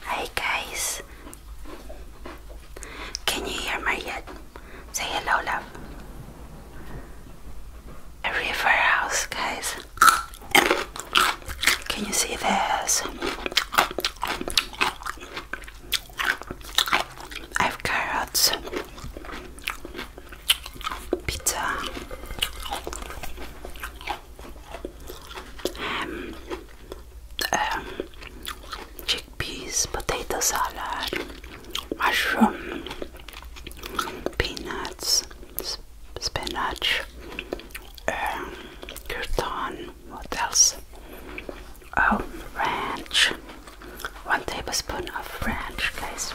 Hi guys. Can you hear me yet? Say hello, love. A river house, guys. Can you see this? I've carrots, pizza, ham, um, chickpeas, potato salad, mushroom, peanuts, spinach, um, what else? Oh, ranch. One tablespoon of ranch, guys.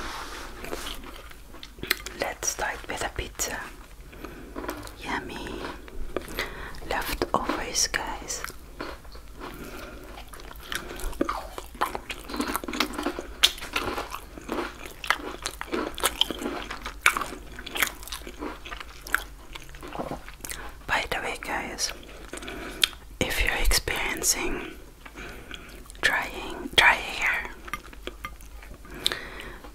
Let's start with a pizza. Yummy leftovers, guys. By the way, guys, if you're experiencing drying, dry hair,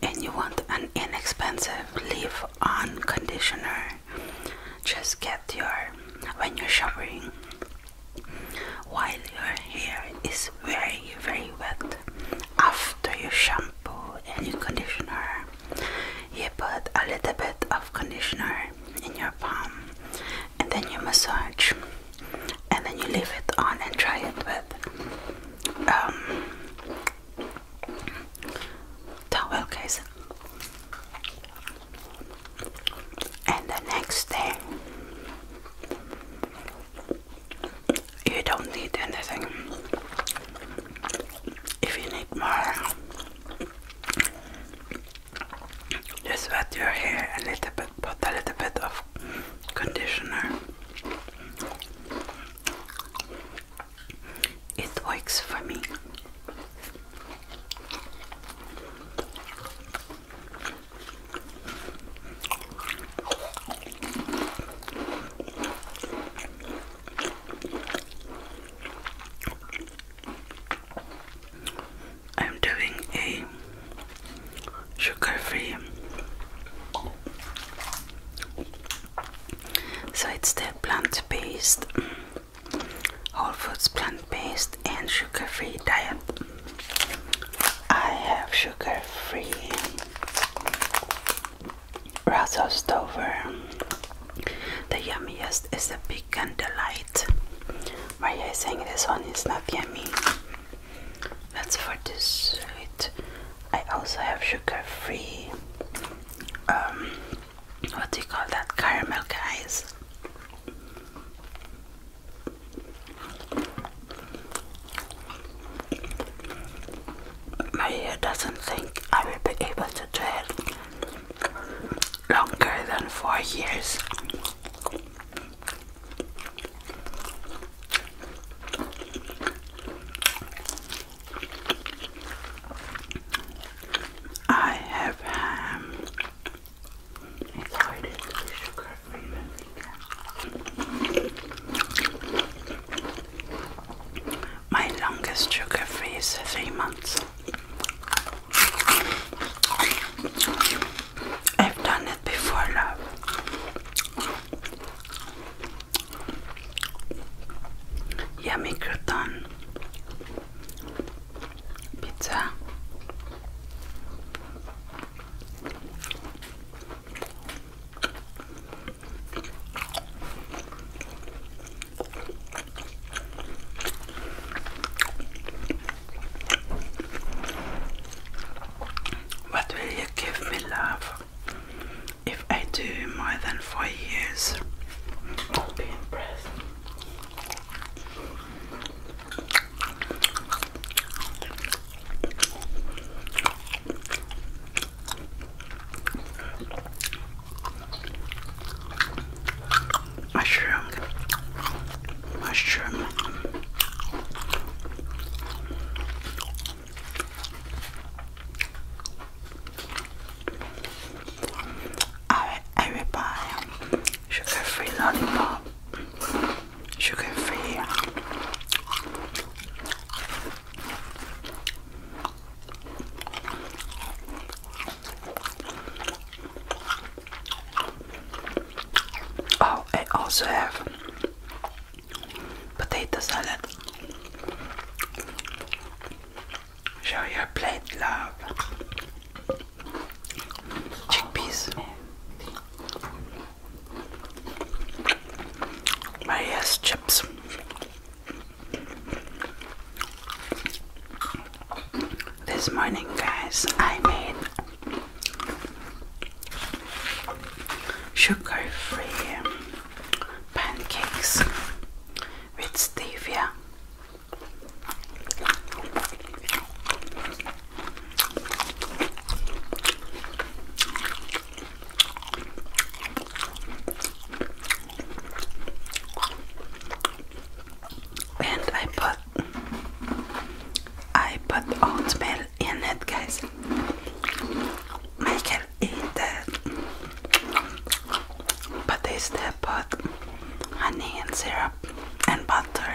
and you want an inexpensive leave on conditioner, just get your when you're showering while your hair is very very wet after your shampoo and your conditioner you put a little bit of conditioner in your palm and then you massage and then you leave it on and try it with um, towel case and the next day you don't need anything if you need more just wet your hair a little bit put a little bit of conditioner it works for me. I'm doing a sugar free so it's the plant-based, whole foods plant-based and sugar-free diet. I have sugar-free Russell Stover. The yummiest is the pecan delight. Why are you saying this one is not yummy? That's for sweet. I also have sugar-free, um, what do you call that, caramel guys. doesn't think I will be able to do longer than four years. I have ham My longest sugar free is three months. I've done it before, love. Yummy crouton pizza. What will you give me, love? If I do more than four years, I'll be impressed. Mushroom, mushroom. I, I will buy sugar-free lollipop, sugar-free Oh, I also have potato salad. Show your plate, love. Chickpeas. Maria's chips. This morning, guys, I made sugar-free pancakes with stevia. And I put I put oatmeal in it guys. I can eat that, but they still put honey and syrup and butter.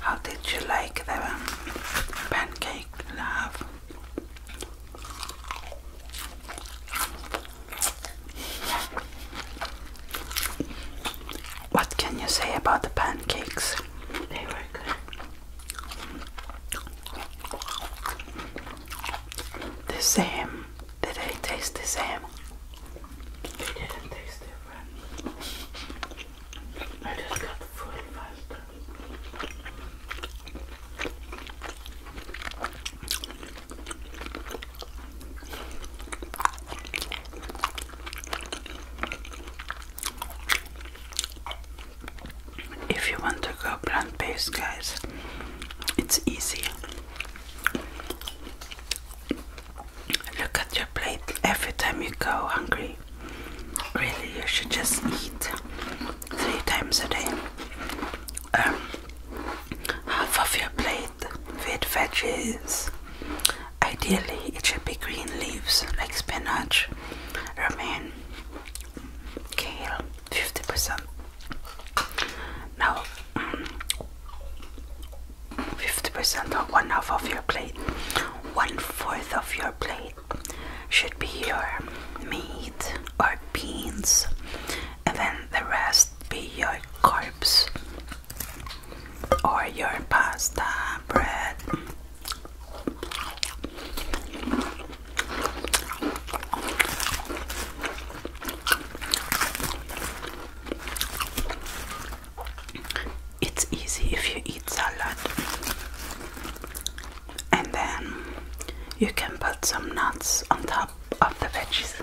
How did you like the pancake, love? What can you say about the pancakes? They were good. The same. Did they taste the same? They didn't taste different. I just got full faster. If you want to go plant based, guys, it's easy. Look at your plate every time you go hungry. Really, you should just eat three times a day. Um, half of your plate with veggies. Ideally, it should be green leaves like spinach, romaine, kale, 50%. Now, 50% mm, or one half of your plate, one fourth of your plate should be your meat or beans, and then the rest be your carbs or your pasta, bread. It's easy if you eat salad and then you can put some nuts on top of the veggies.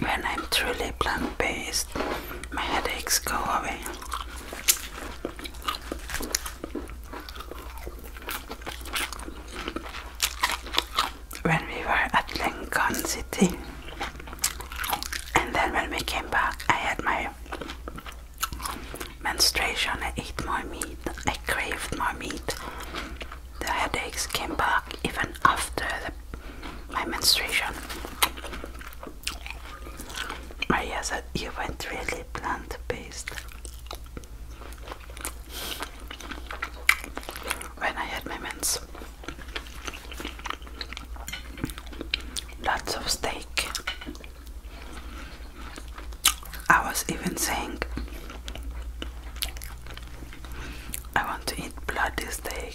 When I'm truly plant based, my headaches go away when we were at Lincoln City. And then when we came back, I had my menstruation, I ate more meat, I craved more meat. The headaches came back even after the, my menstruation. Maria said, You went really plant based when I had my mens. Lots of steak. I was even saying, I want to eat bloody steak.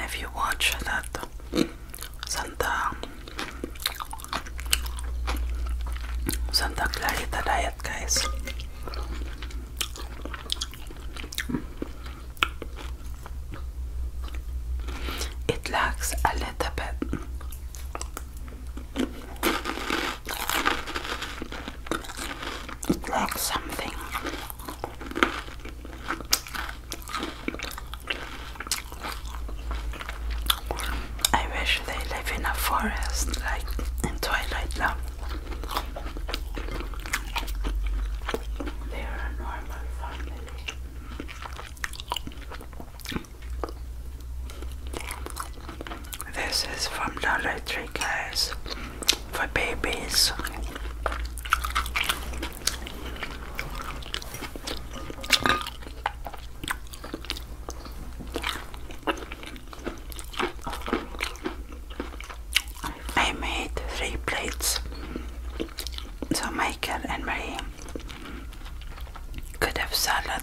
If you watch that Santa Santa Clarita diet, guys. It lacks a little bit like something. I wish they live in a forest like in Twilight Love. They are a normal family. This is from Dollar Tree, case for babies. I made three plates so Michael and Marie could have salad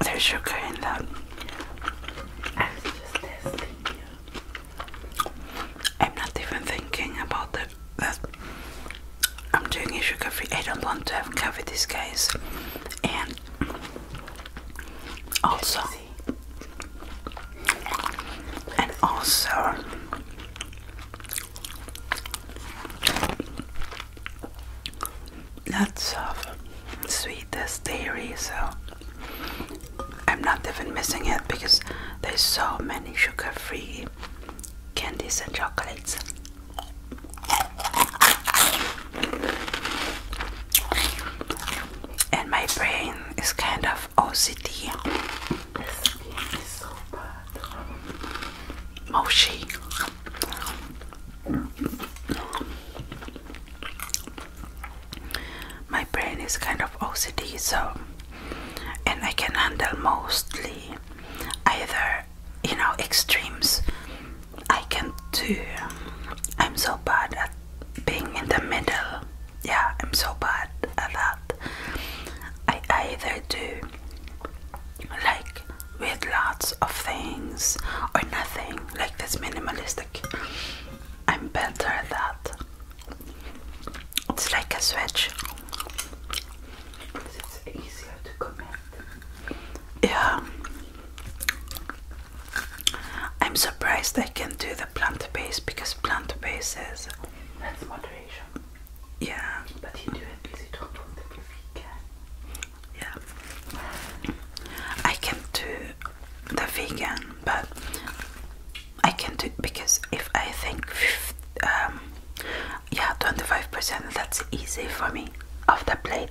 There's sugar in that. I'm not even thinking about the, that. I'm doing a sugar free. I don't want to have coffee cavities, guys. And also, and also, lots of sweetest dairy so I'm not even missing it because there's so many sugar-free candies and chocolates and my brain is kind of OCD this is moshi my brain is kind of OCD, so and I can handle mostly either you know extremes. I can do. I'm so bad at being in the middle. Yeah, I'm so bad at that. I either do like with lots of things or nothing like this minimalistic I'm better at that it's like a switch yeah I'm surprised I can do the plant base because plant base is that's moderation yeah but you do it because you don't want to be yeah. I can do the vegan, but I can do because if I think, um, yeah, 25% that's easy for me off the plate.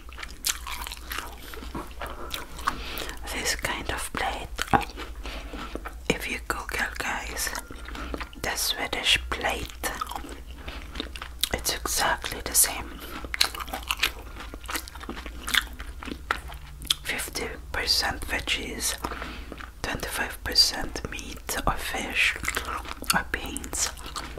This kind of plate, if you Google, guys, the Swedish plate, it's exactly the same 50% veggies, 25% meat or fish or beans.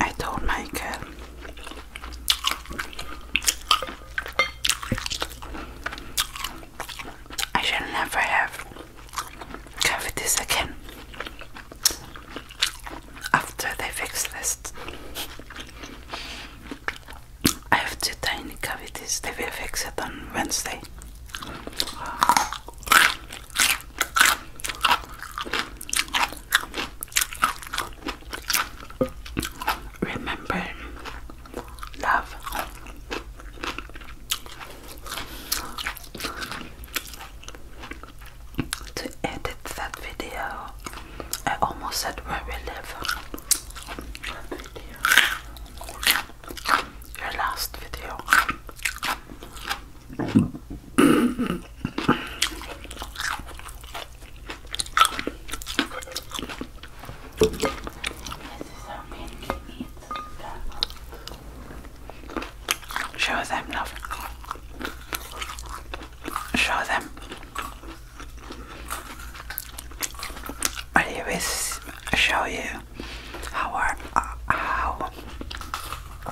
I don't like it. I shall never have cavities again after they fixed this. I have two tiny cavities, they will fix it on Wednesday. Remember, love. To edit that video, I almost said where we live. Your last video. Show them love. Show them. I always show you how our, how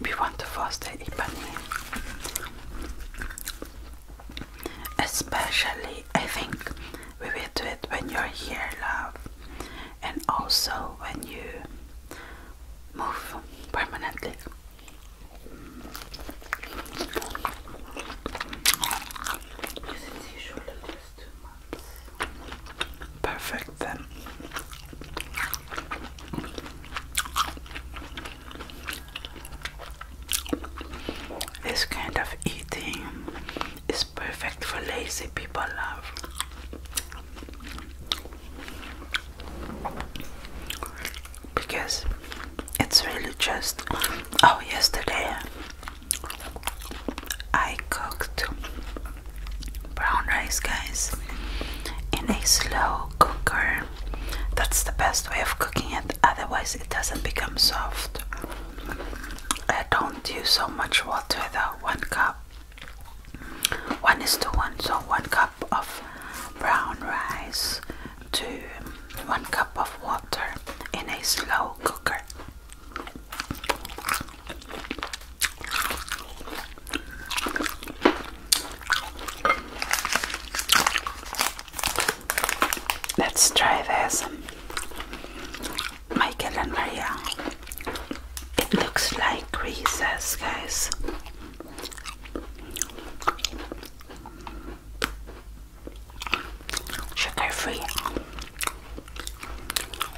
we want to foster economy. Especially, I think we will do it when you're here, love, and also when you move permanently. Perfect then. This kind of eating is perfect for lazy people, love. Because it's really just. Oh, yesterday I cooked brown rice, guys, in a slow cooker. That's the best way of cooking it, otherwise, it doesn't become soft. I don't use so much water though, one cup. One is to one, so one cup of brown rice to one cup of water in a slow cooker. Let's try this. Michael and Maria. It looks like Reese's, guys. Sugar free.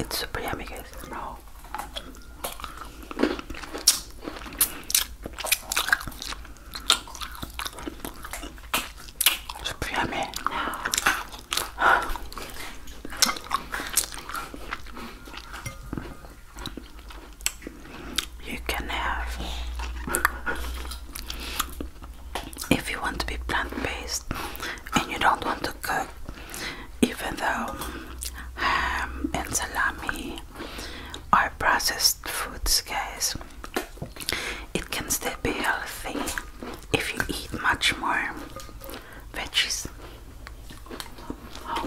It's super yummy, guys. No. Super yummy. You can have if you want to be plant-based and you don't want to cook even though ham and salami are processed foods guys it can still be healthy if you eat much more veggies how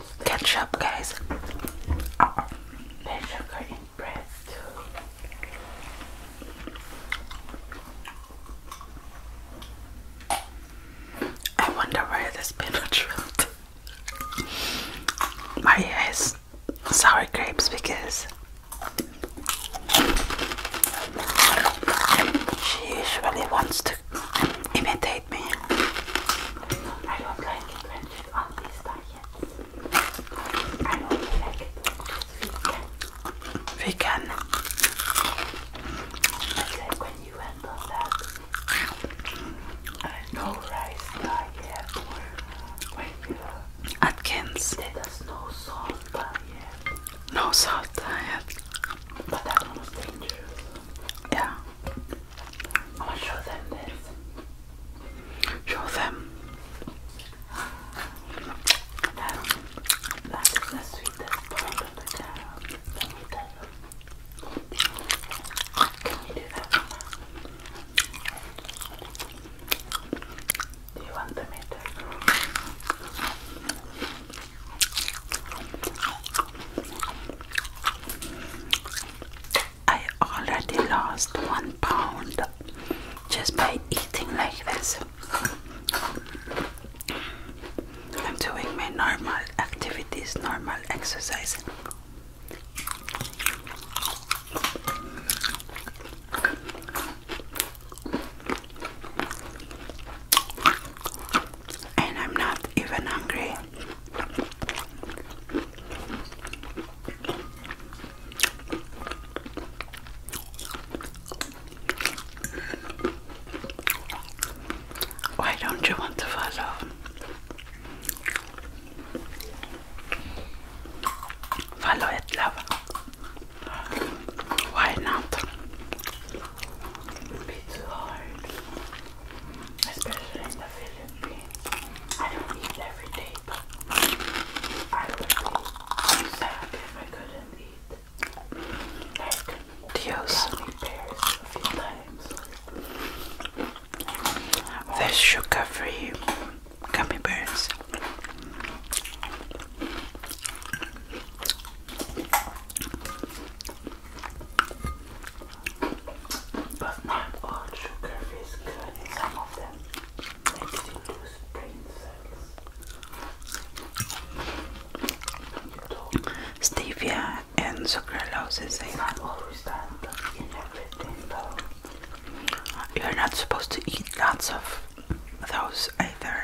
ketchup, guys. I wonder where the spinach My eyes sour grapes because she usually wants to imitate I don't like it when it's on these diets. I only like it we can. It's like when you went on that no rice diet or Atkins uh, no salt diet. No salt diet. But that was Yeah. I want to show them this. Show them that is the sweetest part of the tarot. Let me tell you. do you want the meter? I already lost one pound just by eating like this. I'm doing my normal activities, normal exercise and I'm not even hungry. Why don't you want to follow? Follow it, love. Why not? be too hard, especially in the Philippines. I don't eat every day, but I would be sad if I couldn't eat. Like, sugar-free gummy bears. But not all sugar is good. Some of them make you lose brain cells. Stevia and sucralose is not always that You're not supposed to eat lots of those either.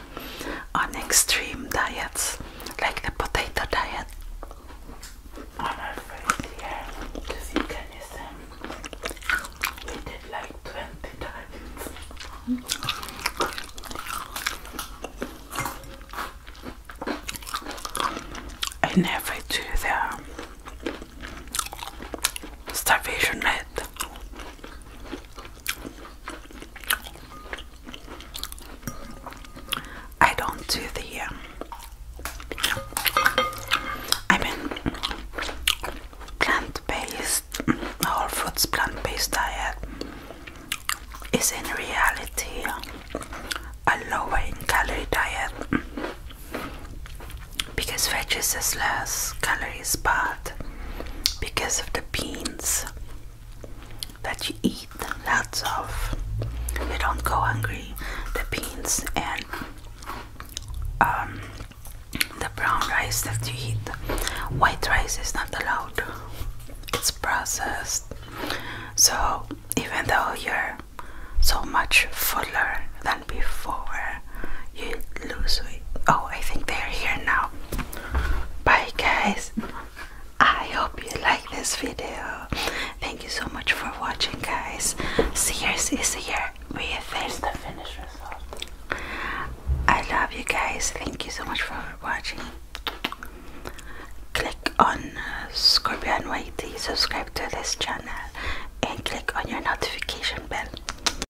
on extreme diets like the potato diet. On our first year to veganism, we did like 20 diets. I never do the starvation diet. I don't do the. Um, I mean, plant-based, whole foods plant-based diet is in reality a lower in calorie diet because veggies has less calories, but because of the beans that you eat lots of. You don't go hungry. The beans and um, the brown rice that you eat, white rice is not allowed. It's processed. So even though you're so much fuller than before, you lose weight. Oh, I think they're here now. Bye, guys. I hope you like this video. Thank you so much for watching, guys. Sears is here. We there's the finished result. I love you guys. Thank you so much for watching. Click on uh, Scorpion YT, subscribe to this channel, and click on your notification bell.